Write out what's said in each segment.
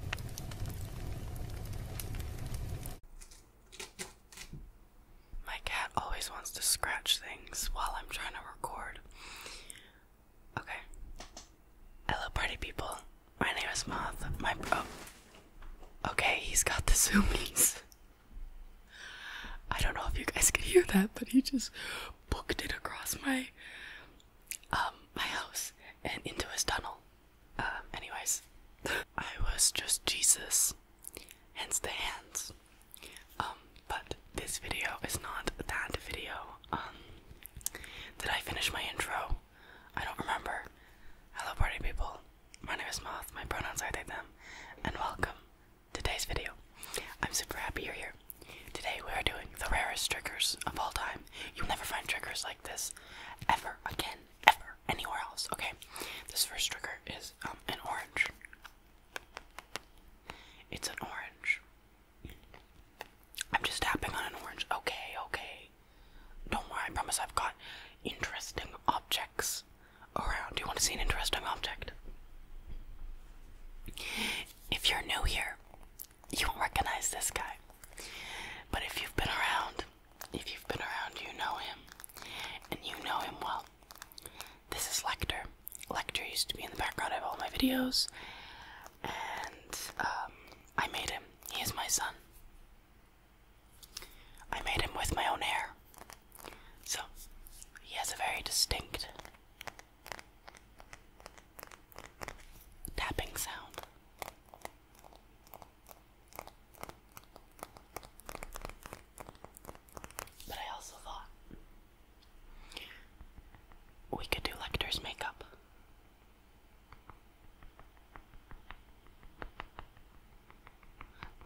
My cat always wants to scratch things while I'm trying to record. Okay. Hello, party people. My name is Moth. My oh. Okay, he's got the zoomies. I don't know if you guys can hear that, but he just booked it across my um my house and into his tunnel. Um, anyways, I was just Jesus, hence the hands. Um, but this video is not that video. did um, I finish my intro? I don't remember. Hello, party people. My name is Moth, my pronouns are they, them, and welcome to today's video. I'm super happy you're here. Today we are doing the rarest triggers of all time. You'll never find triggers like this ever again, ever, anywhere else. Okay, this first trigger is um, an orange. It's an orange. I'm just tapping on an orange. Okay, okay. Don't worry, I promise I've got interesting objects around. Do you want to see an interesting object? If you're new here, you won't recognize this guy. But if you've been around, if you've been around, you know him. And you know him well. This is Lecter. Lecter used to be in the background of all my videos. And um, I made him. He is my son. I made him with my own hair. So, he has a very distinct tapping sound. But I also thought we could do Lecter's makeup.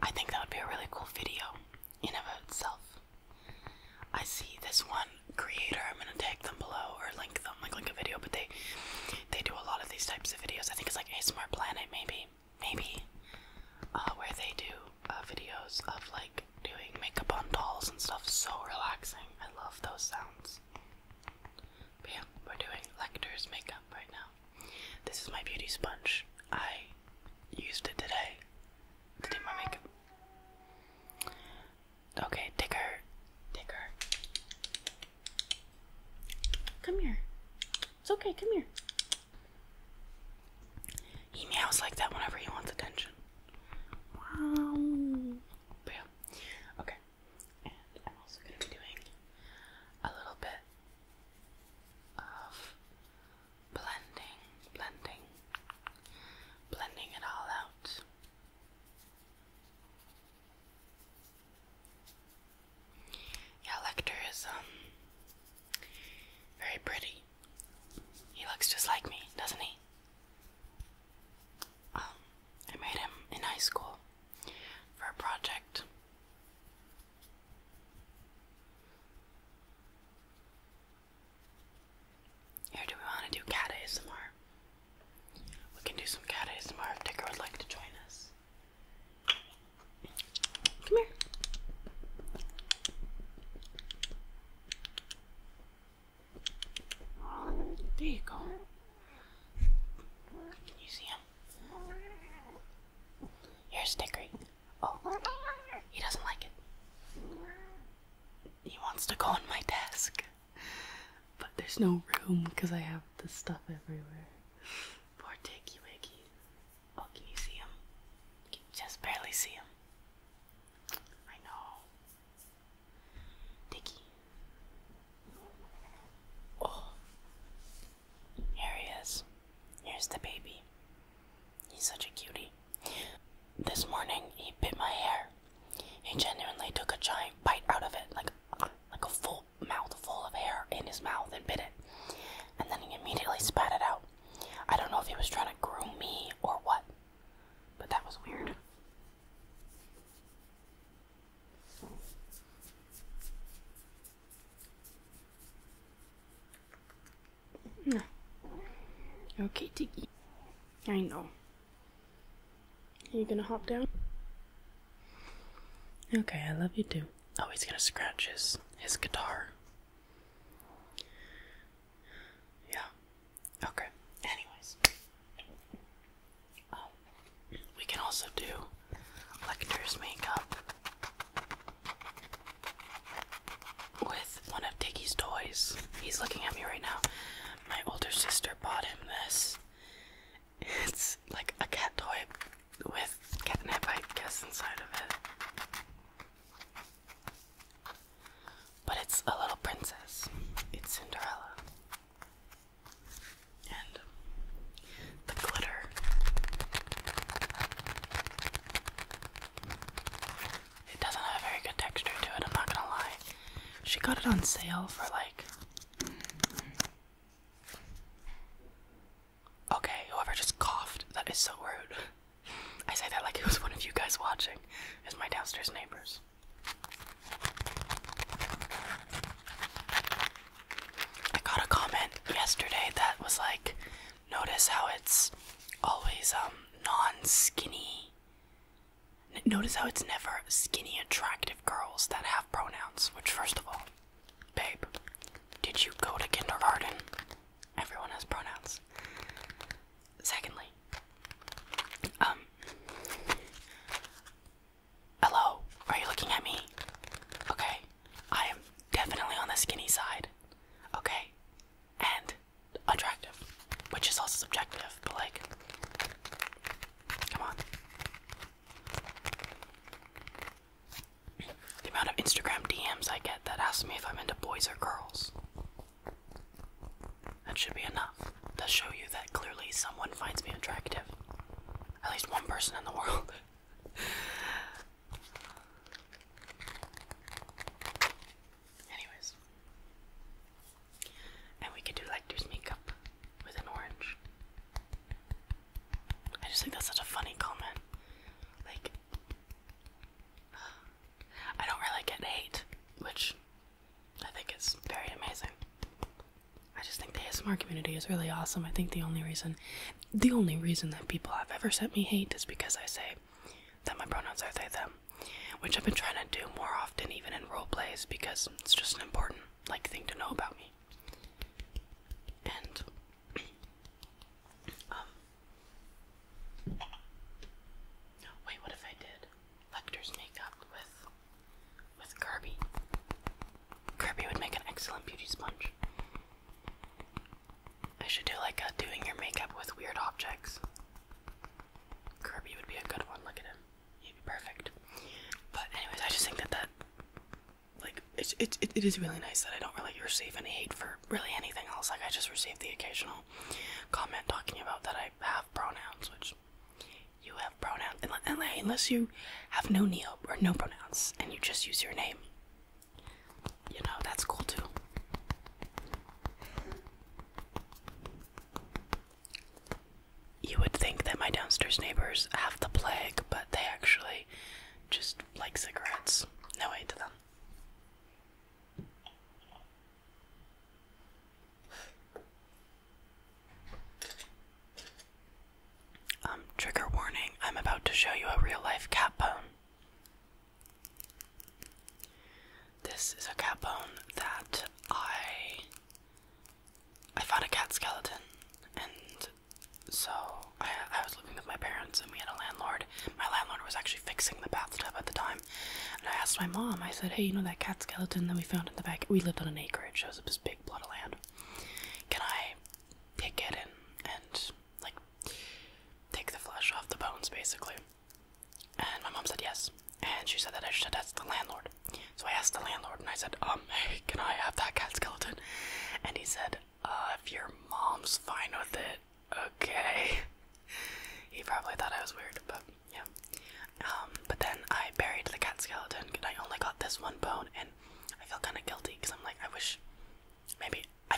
I think that would be a really cool video in and of itself. I see this one creator, I'm gonna tag them below or link them like like a video, but they they do a lot of these types of videos. I think it's like a Smart Planet, maybe, maybe, uh, where they do uh, videos of like doing makeup on dolls and stuff. So relaxing. I love those sounds. But we're doing Lecter's makeup right now. This is my beauty sponge. I used it today to do my makeup. Okay, ticker, ticker. Come here. It's okay, come here. He meows like that whenever he wants attention. Wow. Okay. And I'm also going to be doing a little bit of blending, blending, blending it all out. Yeah, Lecter is um very pretty. He looks just like me, doesn't he? Um, I made him in high school for a project. Here, do we want to do cat ASMR? We can do some cat ASMR if Dicker would like to join us. Come here. There you go. Can you see him? Here's Dickory. Oh, he doesn't like it. He wants to go on my desk but there's no room because I have the stuff everywhere. Poor Dicky Wicky. Oh, can you see him? Can you just barely see him? I know. Dicky. Oh. Here he is. Here's the baby. He's such a cutie. This morning he bit my hair. He genuinely took a giant bite out of it, like like a full Mouth full of hair in his mouth and bit it. And then he immediately spat it out. I don't know if he was trying to groom me or what, but that was weird. No. Okay, Tiggy. I know. Are you gonna hop down? Okay, I love you too. Oh, he's gonna scratch his his guitar. Yeah. Okay. Anyways, um, we can also do Lecter's makeup with one of Diggy's toys. He's looking at me right now. My older sister bought him this, it's like a cat toy with catnip, I guess, inside of it. But it's a little princess. It's Cinderella. And the glitter. It doesn't have very good texture to it, I'm not gonna lie. She got it on sale for like Okay, whoever just coughed, that is so rude. I say that like it was one of you guys watching. It's my downstairs neighbors. I got a comment yesterday that was like, notice how it's always um non-skinny. Notice how it's never skinny attractive girls that have pronouns, which, first of all, babe, did you go to kindergarten? Everyone has pronouns. Secondly, um, hello, are you looking at me? Okay, I am definitely on the skinny side. Okay, and attractive, which is also subjective, but like, come on. The amount of Instagram DMs I get that ask me if I'm into boys or girls. That should be enough to show you that clearly someone finds me attractive. At least one person in the world. Anyways. And we could do Lecter's makeup with an orange. I just think that's such a funny comment. Like, I don't really get hate, which I think is very amazing. I just think the ASMR community is really awesome. I think the only reason, the only reason that people have ever sent me hate is because I say that my pronouns are they, them, which I've been trying to do more often, even in role plays, because it's just an important like thing to know about me. And um wait, what if I did Lecter's makeup with with Kirby? Kirby would make an excellent beauty sponge. I should do like a doing your makeup with weird objects. Kirby would be a good one. Look at him. He'd be perfect. But anyways, I just think that that like it's it, it is really nice that I don't really receive any hate for really anything else. Like I just received the occasional comment talking about that I have pronouns, which you have pronouns unless you have no neo or no pronouns and you just use your name. You know that's cool too you would think that my downstairs neighbors have the plague, but they actually just like cigarettes. No aid to them. Um, trigger warning, I'm about to show you a real life cat bone. This is a cat bone that I I found a cat skeleton, and so I, I was living with my parents, and we had a landlord. My landlord was actually fixing the bathtub at the time, and I asked my mom. I said, "Hey, you know that cat skeleton that we found in the back? We lived on an acreage. It shows up as big plot of land. Can I take it and and like take the flesh off the bones, basically?" And my mom said yes, and she said that I should ask the landlord. So I asked the landlord and I said, um, can I have that cat skeleton? And he said, uh, if your mom's fine with it, okay. He probably thought I was weird, but yeah. Um, but then I buried the cat skeleton and I only got this one bone and I feel kind of guilty because I'm like, I wish maybe, I,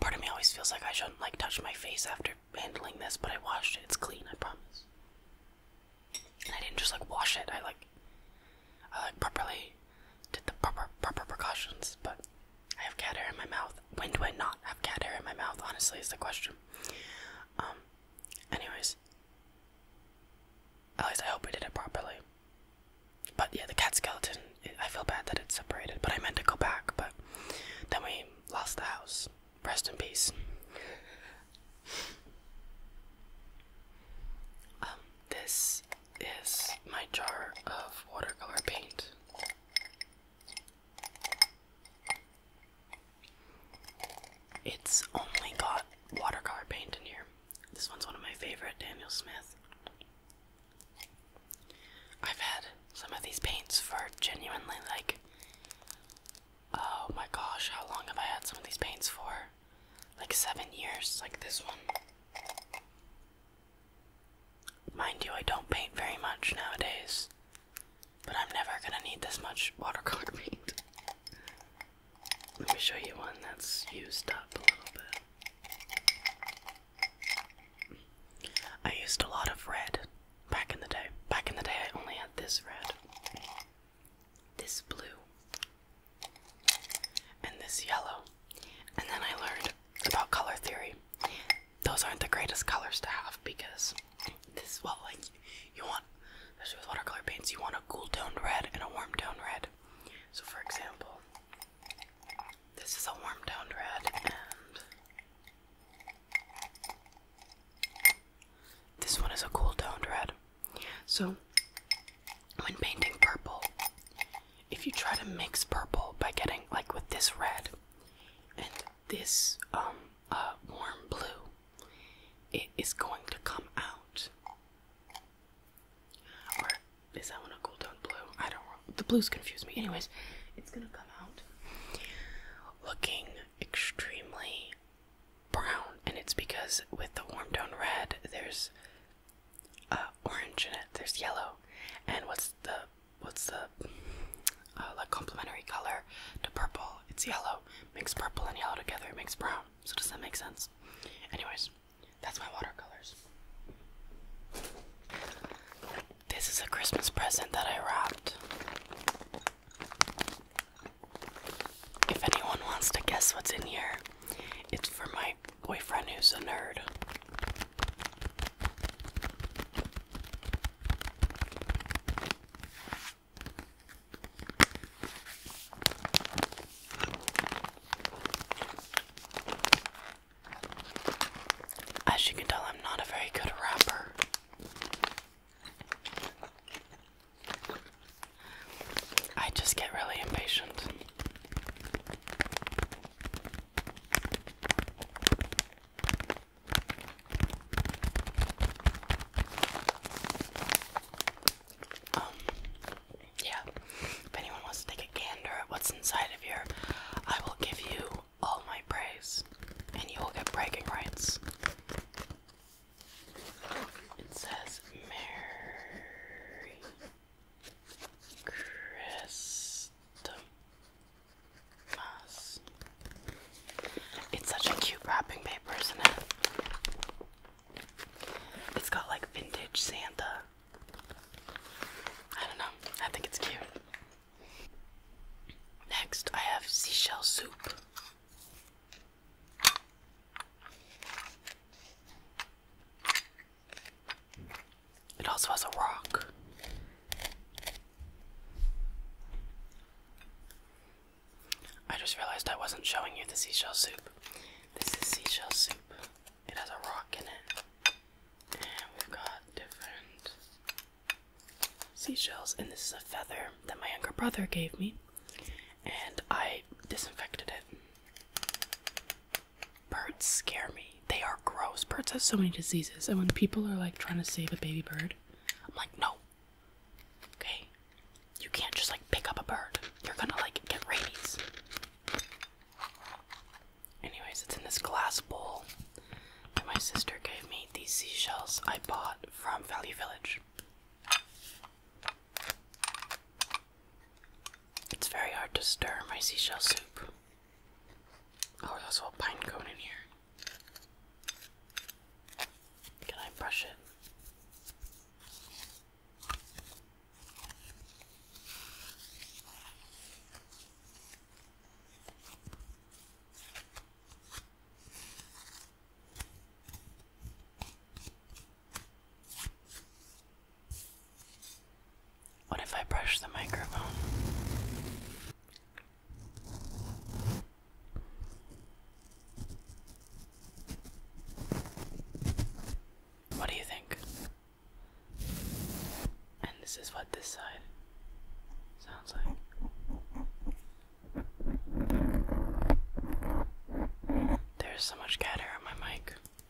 part of me always feels like I shouldn't like touch my face after handling this, but I washed it, it's clean, I promise. I didn't just like wash it. I like I like properly did the proper proper precautions, but I have cat hair in my mouth. When do I not have cat hair in my mouth, honestly, is the question. Um anyways. At least I hope we did it properly. But yeah, the cat skeleton, I feel bad that it's separated, but I meant to go back, but then we lost the house. Rest in peace. um, this is my jar of watercolor paint. It's only got watercolor paint in here. This one's one of my favorite, Daniel Smith. I've had some of these paints for genuinely like, oh my gosh, how long have I had some of these paints for? like seven years, like this one. Mind you, I don't paint very much nowadays, but I'm never gonna need this much watercolor paint. Let me show you one that's used up a little bit. I used a lot of red back in the day. Back in the day, I only had this red this blue, and this yellow. And then I learned about color theory. Those aren't the greatest colors to have because this, well, like you want, especially with watercolor paints, you want a cool toned red and a warm toned red. So, for example, this is a warm toned red, and this one is a cool toned red. So, when painting purple, if you try to mix purple by getting like with this red and this um uh, warm blue, it is going to come out. Or is that one a cool tone blue? I don't The blues confuse me. Anyways, it's gonna come out looking extremely brown, and it's because with the warm tone red, there's uh, orange in it. There's yellow, and what's the what's the uh, like complementary color to purple? It's yellow. Makes purple and yellow together, it makes brown. So does that make sense? Anyways, that's my watercolors. This is a Christmas present that I wrapped. If anyone wants to guess what's in here, it's for my boyfriend who's a nerd. As you can tell, I'm not a very good rapper. I just get really impatient. Um, yeah. If anyone wants to take a gander at what's inside of here, I will give you all my praise, and you will get bragging rights. It says Mary Christmas. It's such a cute wrapping paper, isn't it? It's got like vintage Santa. I don't know. I think it's cute. Next, I have seashell soup. It also has a rock. I just realized I wasn't showing you the seashell soup. This is seashell soup. It has a rock in it. we've got different seashells. And this is a feather that my younger brother gave me. And I disinfected it. Birds scare me. They are gross. Birds have so many diseases, and when people are like trying to save a baby bird, I'm like, no. Okay? You can't just like pick up a bird. You're gonna like get rabies. Anyways, it's in this glass bowl and my sister gave me. These seashells I bought from Valley Village. It's very hard to stir my seashell soup. Oh, there's a little pine cone in here. Can I brush it? What if I brush the microphone? What do you think? And this is what this side sounds like. There's so much cat on my mic.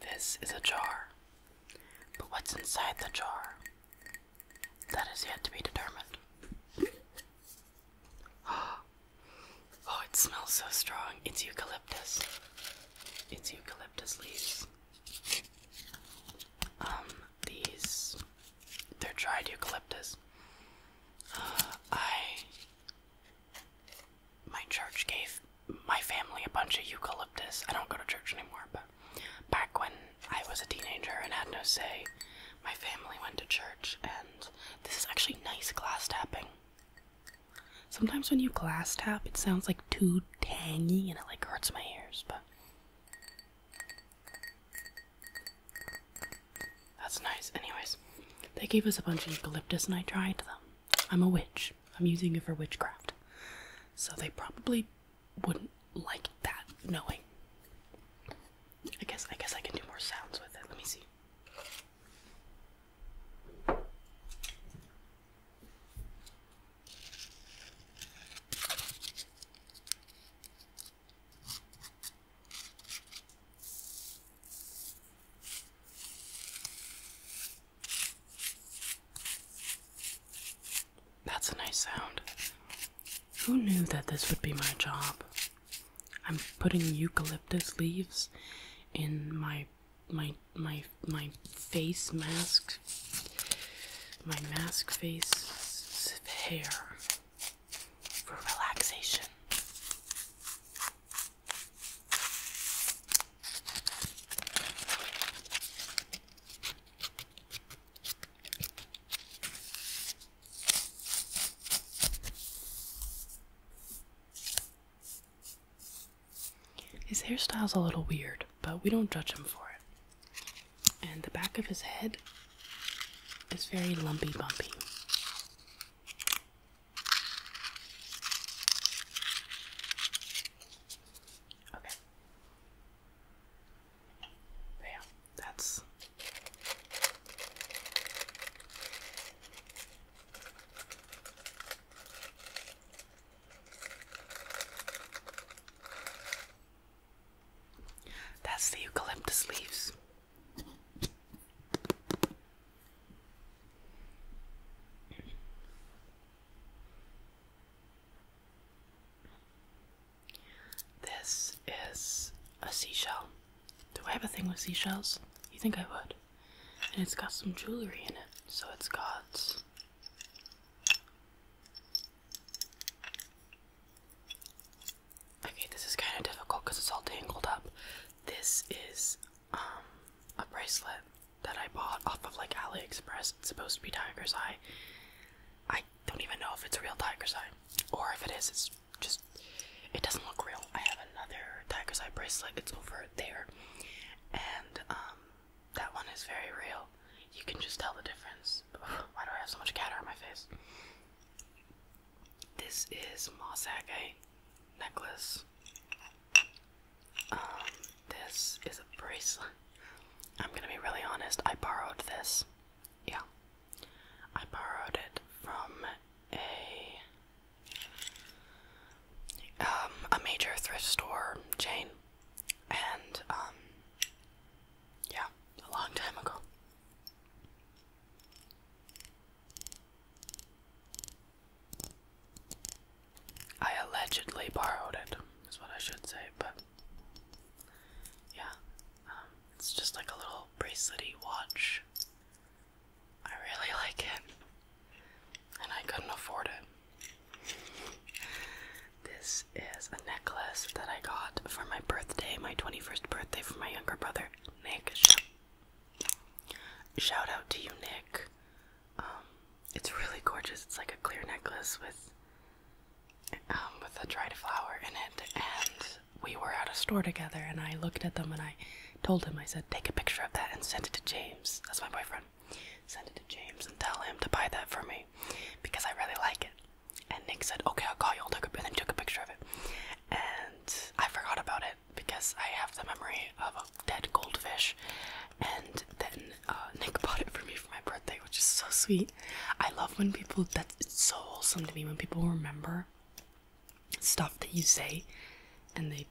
This is a jar. But what's inside the jar? That is yet to be determined. Oh, it smells so strong. It's eucalyptus. It's eucalyptus leaves. Um, these. They're dried eucalyptus. Uh, I my church gave my family a bunch of eucalyptus. I don't go to church anymore, but back when I was a teenager and had no say, my family went to church, and this is actually nice glass tapping. Sometimes when you glass tap, it sounds like too tangy and it like hurts my ears, but. That's nice. Anyways, they gave us a bunch of eucalyptus and I tried them. I'm a witch. I'm using it for witchcraft. So they probably wouldn't like that knowing. I guess I guess I can do more sounds with it. Let me see. That's a nice sound. Who knew that this would be my job? I'm putting eucalyptus leaves in my my my my face mask my mask face hair for relaxation. His hairstyle's a little weird, but we don't judge him for it. And the back of his head is very lumpy bumpy. Okay. But that's that's the eucalyptus leaves. This is a seashell. Do I have a thing with seashells? You think I would. And it's got some jewelry in it. So it's God's. Okay, this is kind of difficult because it's all tangled up. This is um, a bracelet that I bought off of like AliExpress. It's supposed to be tiger's eye. I don't even know if it's real tiger's eye, or if it is. It's just it doesn't look real. I have another tiger's eye bracelet. It's over there, and um, that one is very real. You can just tell the difference. Why do I have so much cat on my face? This is Mosage necklace. Um, this is a bracelet. I'm gonna be really honest, I borrowed this. Yeah. I borrowed it from a um, a major thrift store chain. And um, yeah, a long time ago. I allegedly borrowed it, is what I should say, but yeah, um, it's just like a little bracelety watch. I really like it, and I couldn't afford it. This is a necklace that I got for my birthday, my 21st birthday, for my younger brother, Nick. Shout out to you, Nick. Um, it's really gorgeous. It's like a clear necklace with um, with a dried flower in it. And we were at a store together, and I looked at them, and I told him, I said, take a picture of that and send it to James. That's my boyfriend. Send it to James and tell him to buy that for me because I really like it. And Nick said, okay, I'll call you. I'll a, and then took a picture of it. And I forgot about it because I have the memory of a dead goldfish, and then uh, Nick bought it for me for my birthday, which is so sweet. I love when people that's so wholesome to me when people remember stuff that you say, and they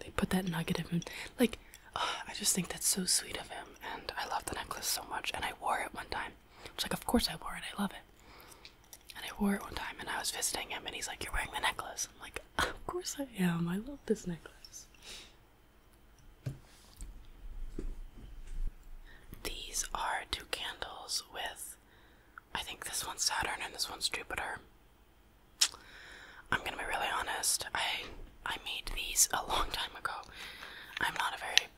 they put that nugget of him like. I just think that's so sweet of him, and I love the necklace so much. And I wore it one time. It's like, of course I wore it. I love it. And I wore it one time and I was visiting him and he's like, You're wearing the necklace. I'm like, Of course I am. I love this necklace. These are two candles with, I think this one's Saturn and this one's Jupiter. I'm gonna be really honest. I I made these a long time ago. I'm not a very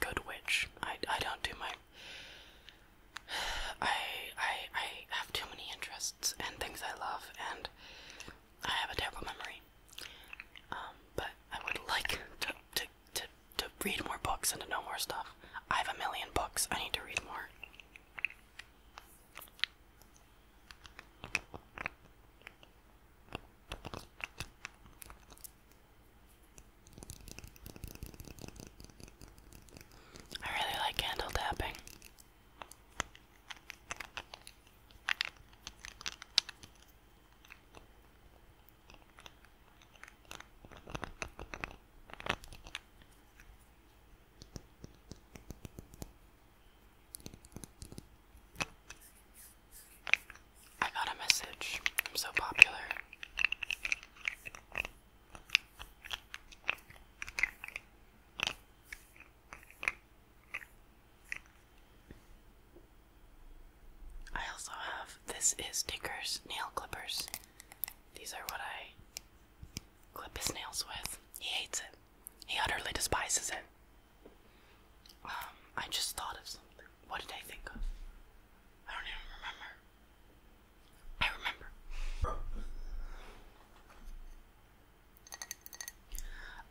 good witch. I I don't do my I, I, I have too many interests and things I love, and I have a terrible memory. Um, but I would like to, to, to, to read more books and to know more stuff. I have a million books. I need to read more. I really like candle tapping. I got a message. I'm so popular. I also have this is Tinker's nail clippers. These are what I clip his nails with. He hates it. He utterly despises it. Um, I just thought of something. What did I think of? I don't even remember. I remember.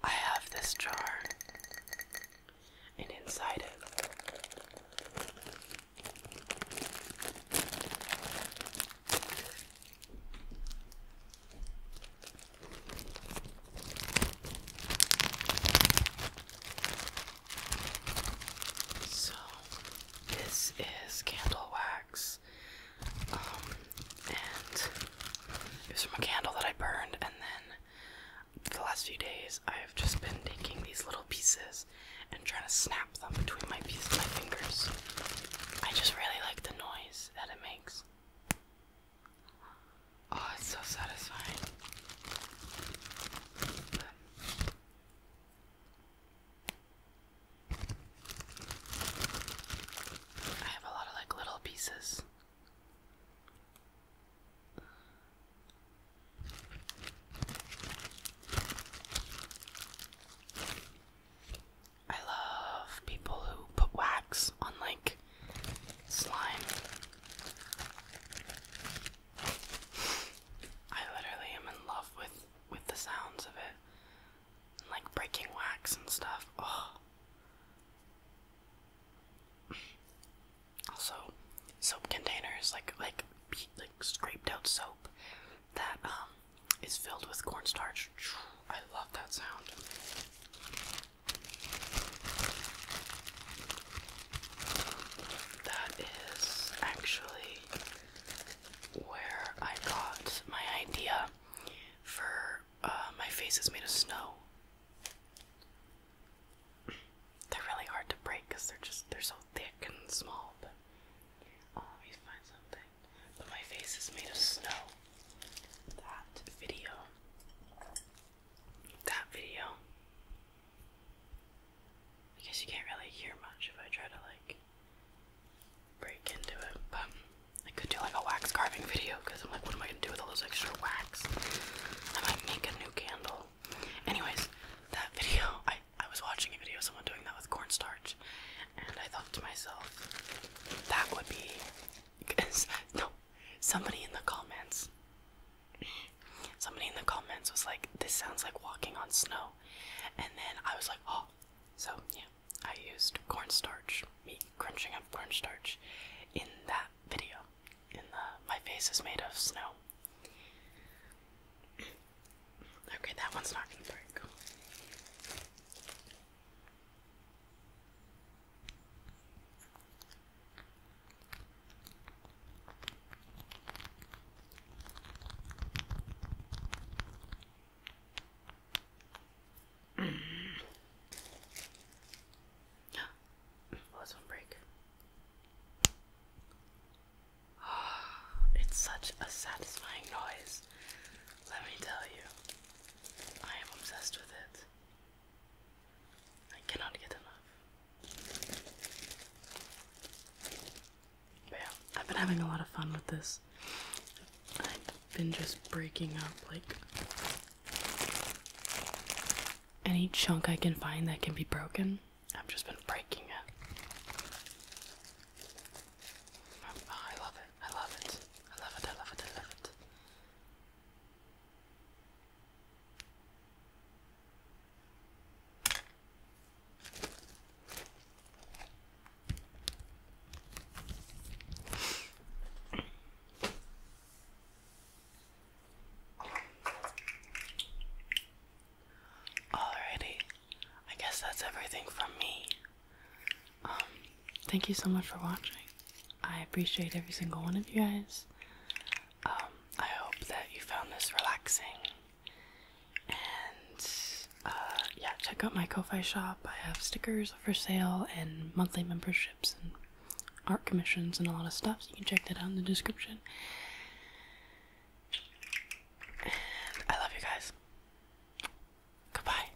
I have this jar, and inside it so, this is candle wax. Um, it was from a candle that I burned, and then the last few days I've just been taking these little pieces and trying to snap them between my fingers. I just really like the noise that it makes. Oh, it's so satisfying. I have a lot of like little pieces. I love people who put wax on like slime. I literally am in love with with the sounds of it and like breaking wax and stuff. Oh. Also, soap containers like like like scraped out soap that um is filled with cornstarch. I love that sound. That is actually where I got my idea for uh, my face is made of snow. They're really hard to break because they're just they're so thick and small. Oh, let me find something. But my face is made of snow. That video. That video. I guess you can't really hear much if I try to like break into it, but I could do like a wax carving video because I'm like, what am I gonna do with all those extra wax? I might make a new candle. Anyways, that video, I, I was watching a video someone doing that with cornstarch, and I thought to myself, that would be. because no, somebody in the comments. Somebody in the comments was like, this sounds like walking on snow. And then I was like, oh, so, yeah, I used cornstarch, me crunching up cornstarch in that video. In the my face is made of snow. Okay, that one's not going break well, oh, that's break. it's such a satisfying noise. Let me tell you, I am obsessed with it. I cannot get enough yeah, I've been having a lot of fun with this. I've been just breaking up like any chunk I can find that can be broken. I've just been breaking it. Oh, I love it. I love it. I love it. I love it. I love it. Alrighty, I guess that's everything from me. Um, thank you so much for watching. I appreciate every single one of you guys. Um, I hope that you found this relaxing and uh, yeah, check out my Ko-Fi shop. I have stickers for sale and monthly memberships and art commissions and a lot of stuff. So you can check that out in the description. I love you guys. Goodbye.